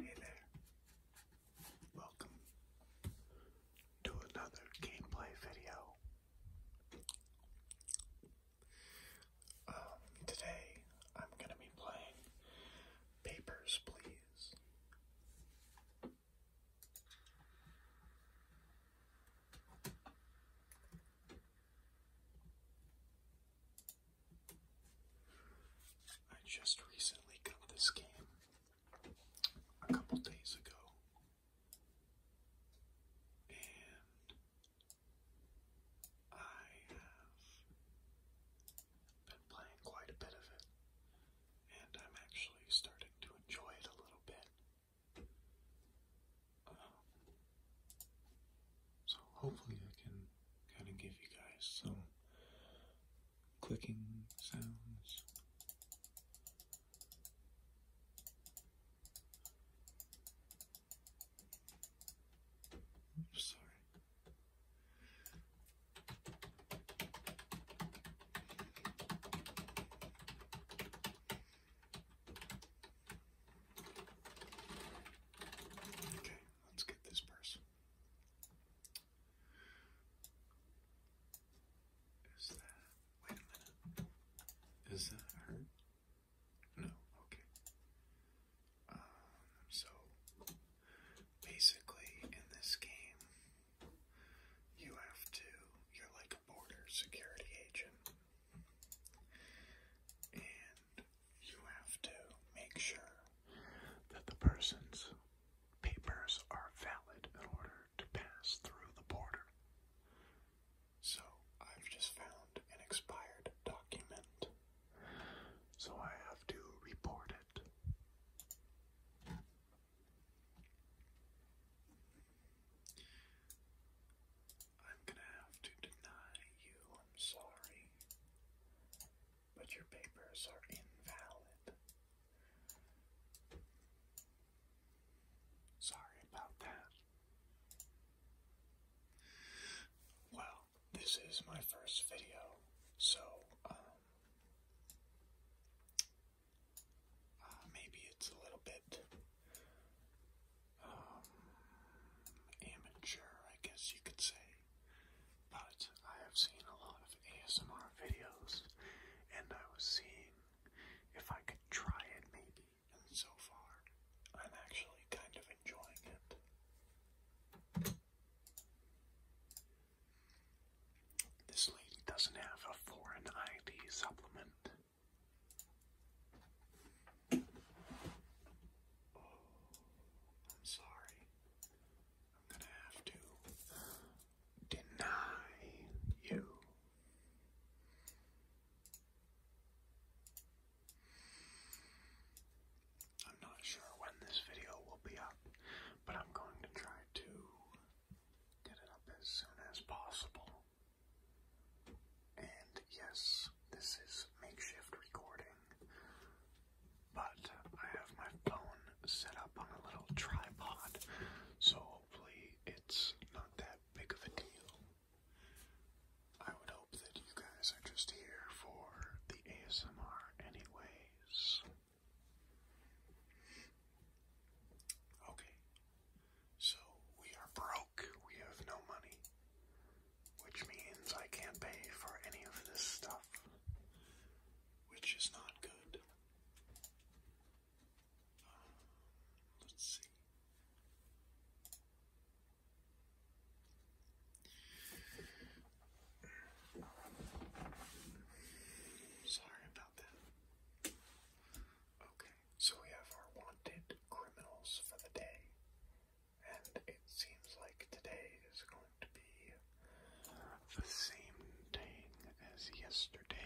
Hey there. Welcome to another gameplay video. Um, today I'm going to be playing Papers, Please. I just recently got this game a couple days ago. And I have been playing quite a bit of it, and I'm actually starting to enjoy it a little bit so hopefully I can kind of give you guys some clicking sounds. Oops, sorry. Okay, let's get this purse. Is that, wait a minute, is that her? No, okay. Um, so, basically in this game, you have to, you're like a border security agent. And you have to make sure that the person's papers are valid in order to pass through the border. So I've just found an expired document, so I have to report it. I'm gonna have to deny you. I'm sorry. But your papers are invalid. Sorry about that. Well, this is my first video, so, um, uh, maybe it's a little bit um, amateur, I guess you could say, but I have seen a lot of ASMR videos, and I was seeing if I could try it maybe, and so far, I'm actually kind of enjoying it. This lady doesn't have a foreign ID supplement. Oh, I'm sorry. I'm gonna have to deny you. I'm not sure when this video will be up, but I'm going to try to get it up as soon as possible. And yes, this is makeshift recording, but I have my phone set up on a little tripod, so hopefully it's not that big of a deal. I would hope that you guys are just here for the ASMR, anyways. Okay, so we are broke. We have no money. Which means I can't pay for any of this stuff. Which is not good. Um, let's see. Sorry about that. Okay. So we have our wanted criminals for the day. And it seems like today is going to be the same thing as yesterday.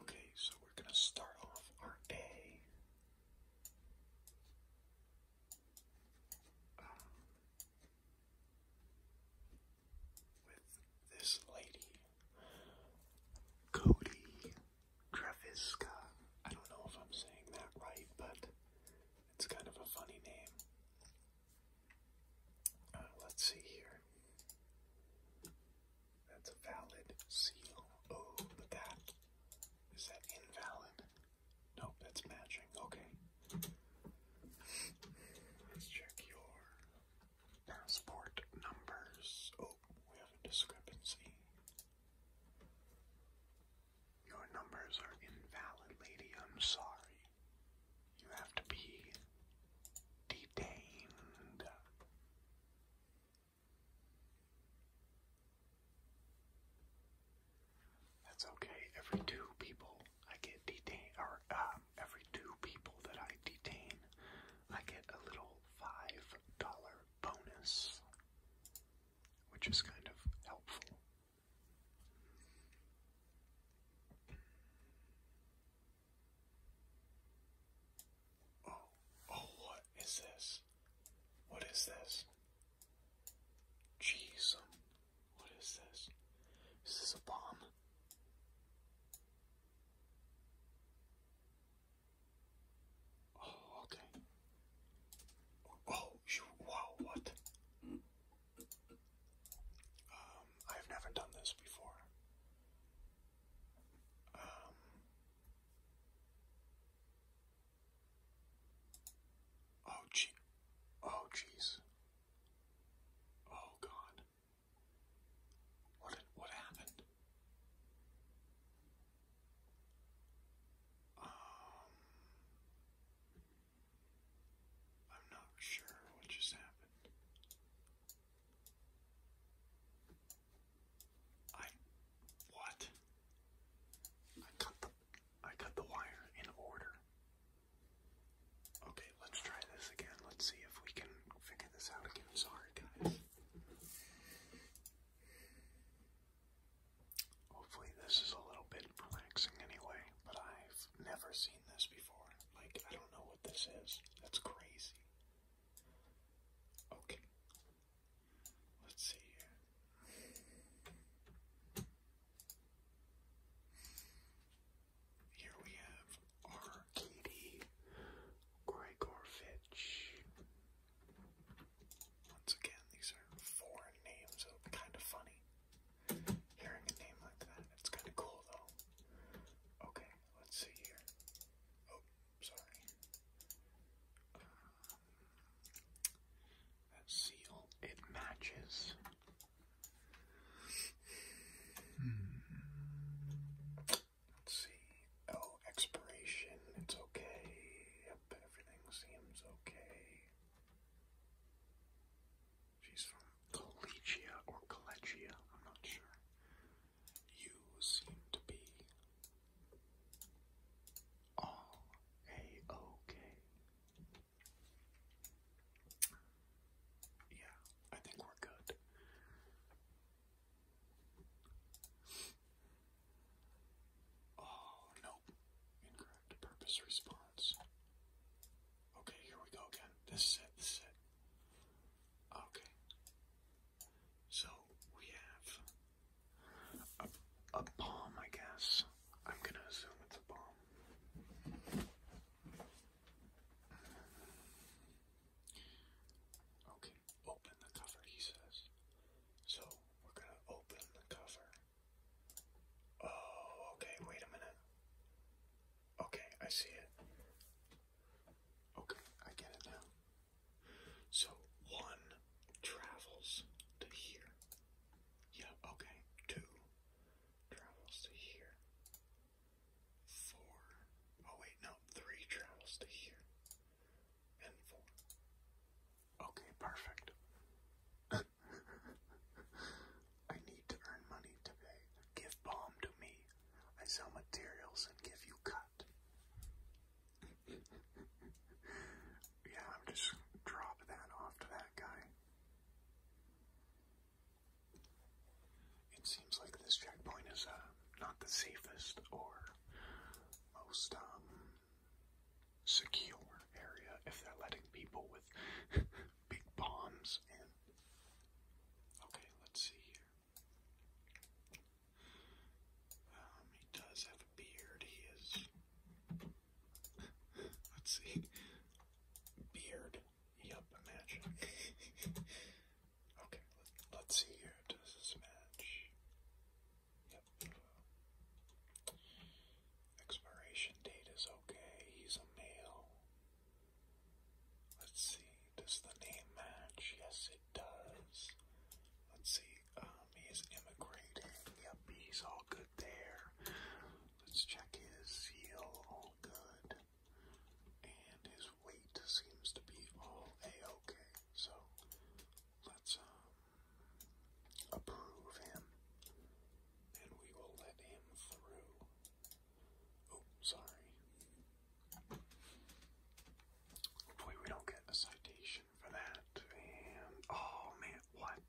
Okay, so we're going to start off our day. Um, with this lady, Cody Kraviska. I don't know if I'm saying that right, but it's kind of a funny name. Uh, let's see here. That's a valid seal. but oh, that is that invalid? Nope, that's matching. Okay. Let's check your passport numbers. Oh, we have a discrepancy. Your numbers are invalid, lady. I'm sorry. You have to be detained. That's okay. Every two people I get detained, or um, every two people that I detain, I get a little five dollar bonus, which is kind of helpful. Oh, oh, what is this? What is this? Jeez, what is this? This Is a bomb? Oh, okay. Oh, wow, what? Um, I've never done this before. Um, oh, gee, oh, jeez. Oh God! What what happened? Um, I'm not sure what just happened. I what? I cut the I cut the wire in order. Okay, let's try this again. Let's see if we can figure this out again. Sorry, guys. Hopefully, this is a little bit relaxing anyway, but I've never seen this before. Like, I don't know what this is. That's crazy. Okay. Let's see here we have Arkady Gregor Once again, these are foreign names, so kind of funny hearing a name like that. It's kind of cool, though. Okay, let's see here. Oh, sorry. Um, that seal, oh, it matches Hmm. Let's see. Oh, expiration. It's okay. everything seems okay. She's from Collegia or Collegia, I'm not sure. You seem to be all a okay. Yeah, I think we're good. Oh, nope. Incorrect purpose response. Okay, here we go again. This is this is Okay. So we have a, a bomb, I guess. I'm gonna assume it's a bomb. Okay, open the cover, he says. So we're gonna open the cover. Oh, okay, wait a minute. Okay, I see it. Okay, I get it now. So one travels to here. Yeah, okay. Two travels to here. Four. Oh wait, no, three travels to here. And four. Okay, perfect. I need to earn money today. Give balm to me. I sell materials and give you cut. yeah, I'm just drop that off to that guy. It seems like this checkpoint is uh, not the safest or most um, secure area if they're letting people with big bombs in. Okay, let's see here. Um, he does have a beard. He is Let's see. Beard. Yup, imagine. okay, let, let's see here. Does this match? Yep. Expiration date is okay. He's a male. Let's see. Does the name match? Yes, it does. Let's see. Um, he's immigrating. Yep, he's all good there. Let's check his heel, all good. And his weight seems to be all a-ok. So let's um, approve him. And we will let him through. Oh, sorry. Hopefully we don't get a citation for that. And oh man, what?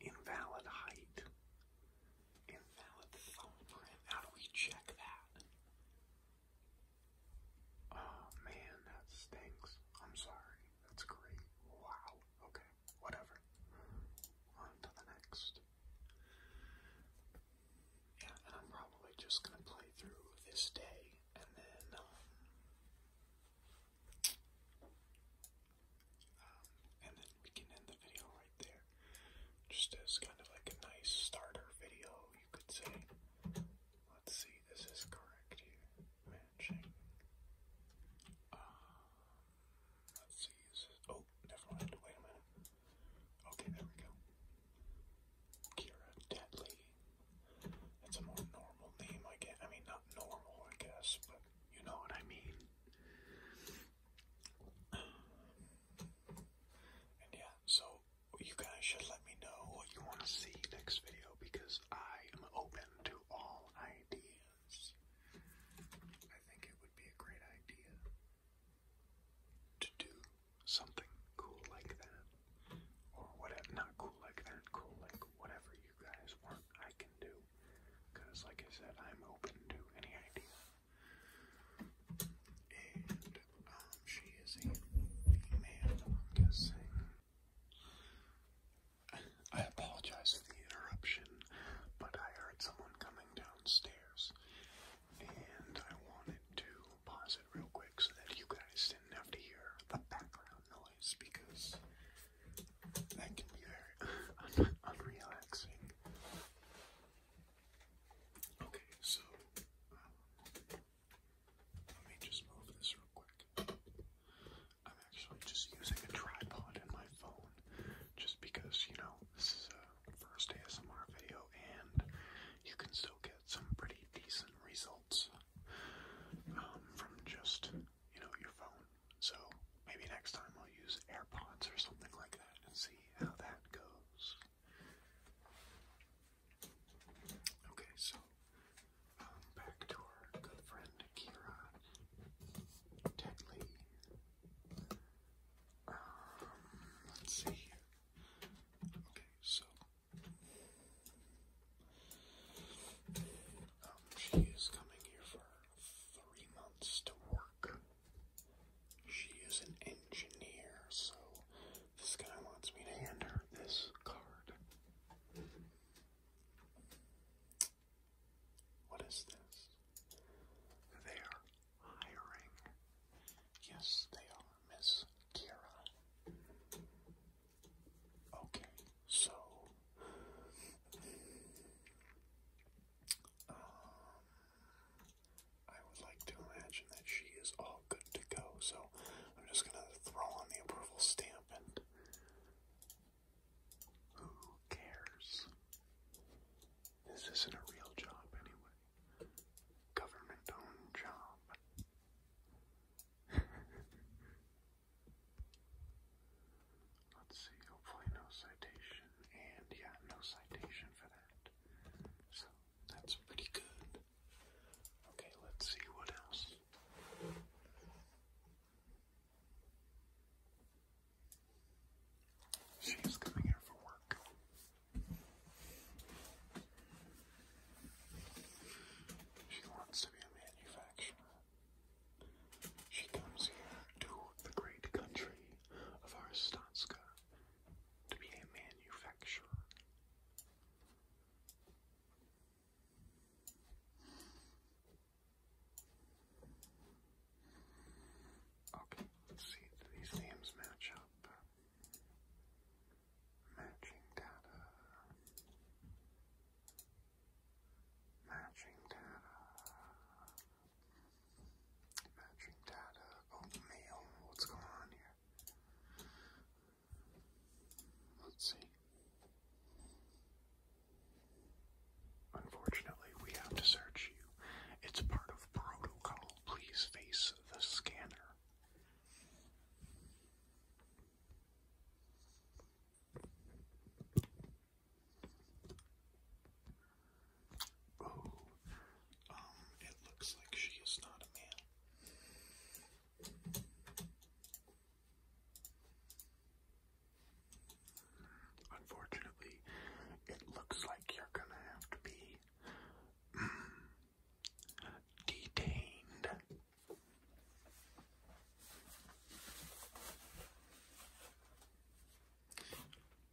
Invalid height. Invalid thumbprint. How do we check that? Oh man, that stinks. I'm sorry. That's great. Wow. Okay. Whatever. On to the next. Yeah, and I'm probably just gonna play through this day and then um, um, and then we can end the video right there. Just as kind of like a nice starter video, you could say. Let's see, this is correct here. Matching. Um, let's see, oh, never mind, wait a minute. Okay, there we go. Kira Deadly. That's a more normal name, I guess. I mean, not normal, I guess, but you know what I mean? And yeah, so you guys should let me know what you want to see next video because I am open to all ideas. I think it would be a great idea to do something cool like that. Or whatever, not cool like that, cool like whatever you guys want I can do. Because, like I said, I'm open to any idea. And, um, she is a female, I'm guessing. I apologize for the interruption, but I heard someone coming downstairs. And I wanted to pause it real quick so that you guys didn't have to hear the background noise because that can be very unrelaxing. Okay, so um, let me just move this real quick. I'm actually just using a tripod in my phone just because, you know, this is a first ASMR video and you can still get some pretty decent results um, from just, you know, your phone. So maybe next time I'll use AirPods or something like that and see how that goes. Okay, so um, back to our good friend Kira Tetley. Um, let's see. Okay, so um, she is coming here for three months to work. She is an engineer, so this guy wants me to hand her this card. What is this? They are hiring. Yes, they are, Miss Kira. Okay, so um, I would like to imagine that she is all good to go, so I'm just gonna throw on the approval stamp and who cares? This isn't a real job anyway. Government owned job. Let's see, hopefully no citation, and yeah, no citation for that. So that's pretty good. Okay, let's see what else. She's coming here for work. She wants to be a manufacturer. She comes here to the great country of Arstatska to be a manufacturer. Okay, let's see do these names match up. Matching data. Matching data. Matching data. Oh, mail. What's going on here? Let's see. Unfortunately, we have to search you. It's part of protocol. Please face the scanner. Oh, um, it looks like she is not a man. Unfortunately, it looks like you're gonna have to be detained.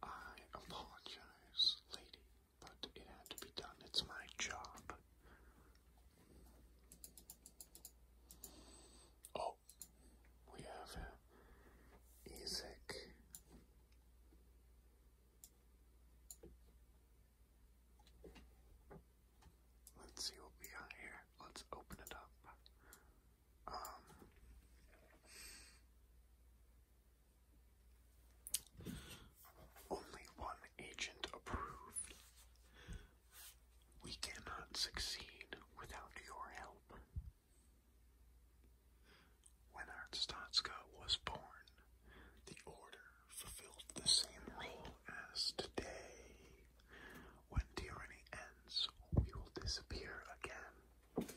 I apologize, lady, but it had to be done. It's my job. Oh, we have Isaac. Let's see what we got here. Let's open it up. Um, only one agent approved. We cannot succeed without your help. When Artstotska was born, the Order fulfilled the same role as today. When tyranny ends, we will disappear again.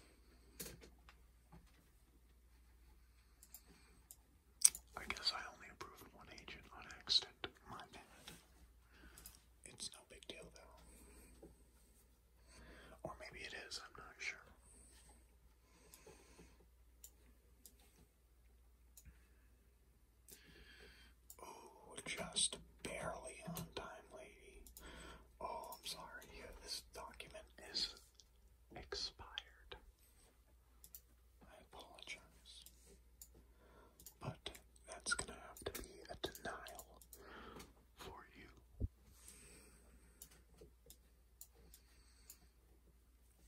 I guess I only approved one agent on accident. My bad. It's no big deal though. Or maybe it is, I'm not sure. Oh, just barely on time, lady. Oh, I'm sorry. this document is expired. I apologize. But that's gonna have to be a denial for you.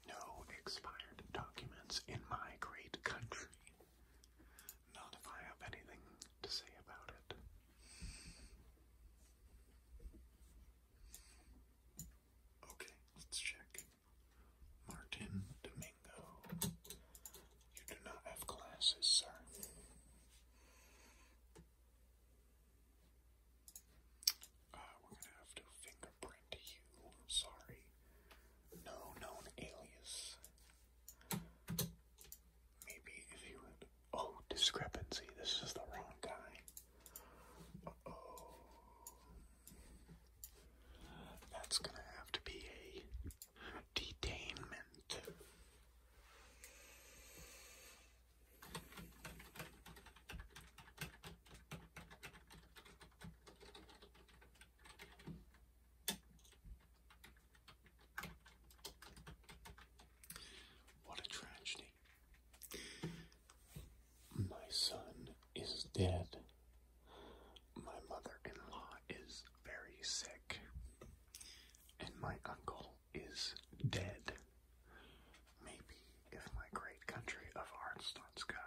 No expired documents in my great country. Not if I have anything to say about it. Okay, let's check. Martin Domingo. You do not have glasses, sir. Uh, we're gonna have to fingerprint you. Sorry. No known alias. Maybe if he would. Oh, discrepancy. This is the wrong guy. oh. That's gonna have to be a detainment. What a tragedy. My son is dead. My mother in law is very sick. And my uncle is dead. Maybe if my great country of Arnstotska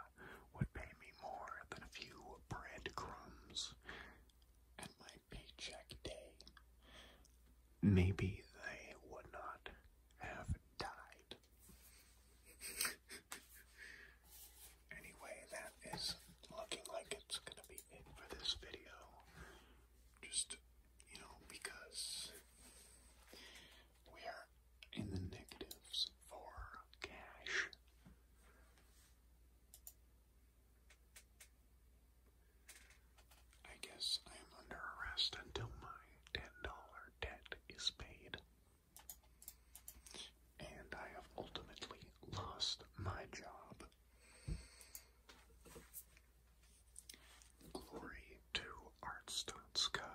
would pay me more than a few breadcrumbs at my paycheck day, maybe they would not have died. anyway, that is looking like it's gonna be it for this video. Just, you know, because we are in the negatives for cash. I guess I am under arrest until my $10 debt is paid. And I have ultimately lost my job. Glory to Artstotska.